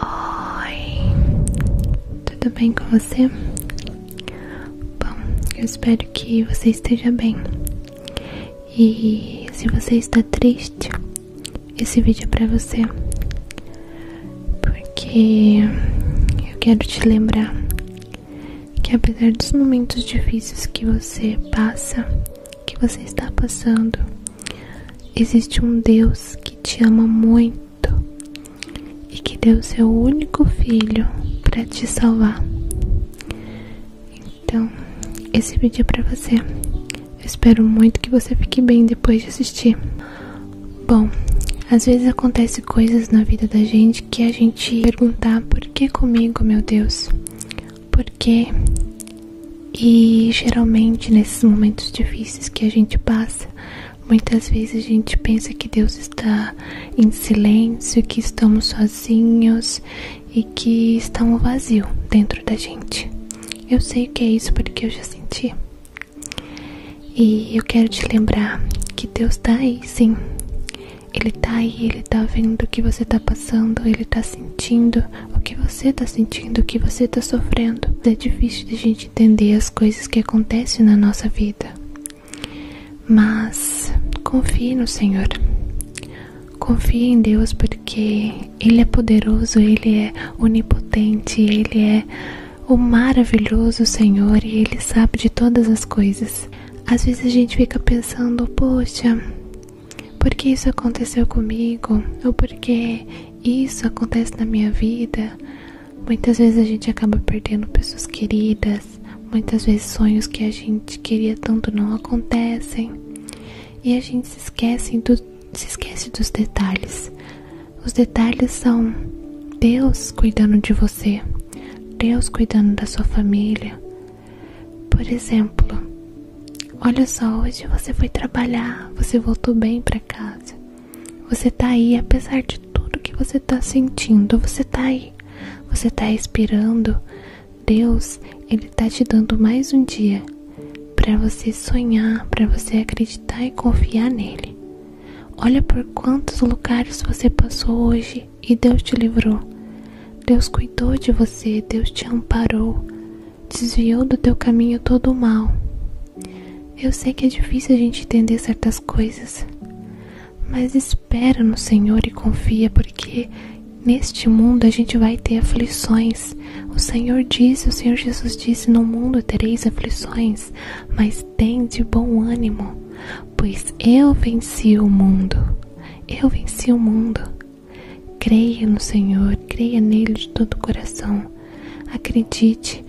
Oi, tudo bem com você? Bom, eu espero que você esteja bem. E se você está triste, esse vídeo é para você, porque eu quero te lembrar que apesar dos momentos difíceis que você passa, que você está passando, existe um Deus que te ama muito e que deu seu único filho para te salvar. Então, esse vídeo é para você. espero muito que você fique bem depois de assistir. Bom, às vezes acontecem coisas na vida da gente que a gente perguntar por que comigo, meu Deus? Por quê? E geralmente nesses momentos difíceis que a gente passa, muitas vezes a gente pensa que Deus está em silêncio, que estamos sozinhos e que está um vazio dentro da gente. Eu sei que é isso porque eu já senti. E eu quero te lembrar que Deus está aí, sim. Ele está aí, ele está vendo o que você está passando, ele está sentindo o que você está sentindo, o que você está sofrendo. É difícil de a gente entender as coisas que acontecem na nossa vida. Mas confie no Senhor. Confie em Deus porque Ele é poderoso, Ele é onipotente, Ele é o maravilhoso Senhor e Ele sabe de todas as coisas. Às vezes a gente fica pensando, poxa, por que isso aconteceu comigo? Ou por que isso acontece na minha vida? Muitas vezes a gente acaba perdendo pessoas queridas, muitas vezes sonhos que a gente queria tanto não acontecem. E a gente se esquece, dos detalhes. Os detalhes são Deus cuidando de você, Deus cuidando da sua família. Por exemplo, olha só, hoje você foi trabalhar, você voltou bem para casa. Você tá aí, apesar de tudo que você tá sentindo, você tá aí. Você tá respirando. Deus, ele tá te dando mais um dia para você sonhar, para você acreditar e confiar nele. Olha por quantos lugares você passou hoje e Deus te livrou. Deus cuidou de você, Deus te amparou, desviou do teu caminho todo o mal. Eu sei que é difícil a gente entender certas coisas, mas espera no Senhor e confia, porque neste mundo a gente vai ter aflições. O Senhor disse, o Senhor Jesus disse: No mundo tereis aflições, mas mas tem de bom ânimo, pois eu venci o mundo. Eu venci o mundo. Creia no Senhor, creia nele de todo o coração. Acredite,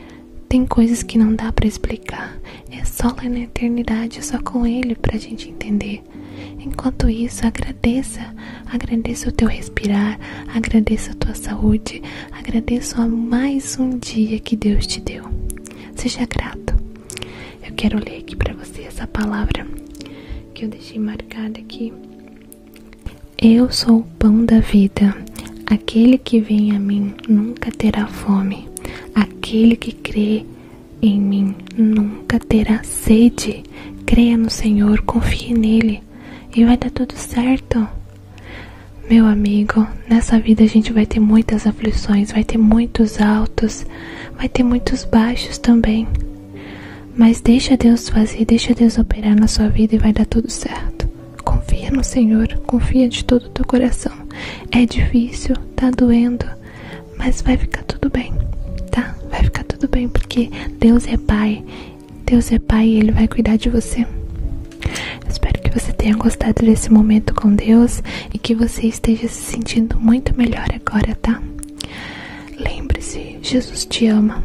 tem coisas que não dá para explicar. É só lá na eternidade, é só com ele para a gente entender. Enquanto isso, agradeça, agradeça o teu respirar, agradeça a tua saúde, Agradeço a mais um dia que Deus te deu. Seja grato. Eu quero ler aqui para você essa palavra que eu deixei marcada aqui. Eu sou o pão da vida. Aquele que vem a mim nunca terá fome. Aquele que crê em mim nunca terá sede. Creia no Senhor, confie nele e vai dar tudo certo. Meu amigo, nessa vida a gente vai ter muitas aflições, vai ter muitos altos, vai ter muitos baixos também. Mas deixa Deus fazer, deixa Deus operar na sua vida e vai dar tudo certo. Confia no Senhor, confia de todo o teu coração. É difícil, tá doendo, mas vai ficar tudo bem, tá? Vai ficar tudo bem porque Deus é Pai. Deus é Pai e Ele vai cuidar de você espero que você tenha gostado desse momento com Deus e que você esteja se sentindo muito melhor agora, tá? Lembre-se, Jesus te ama.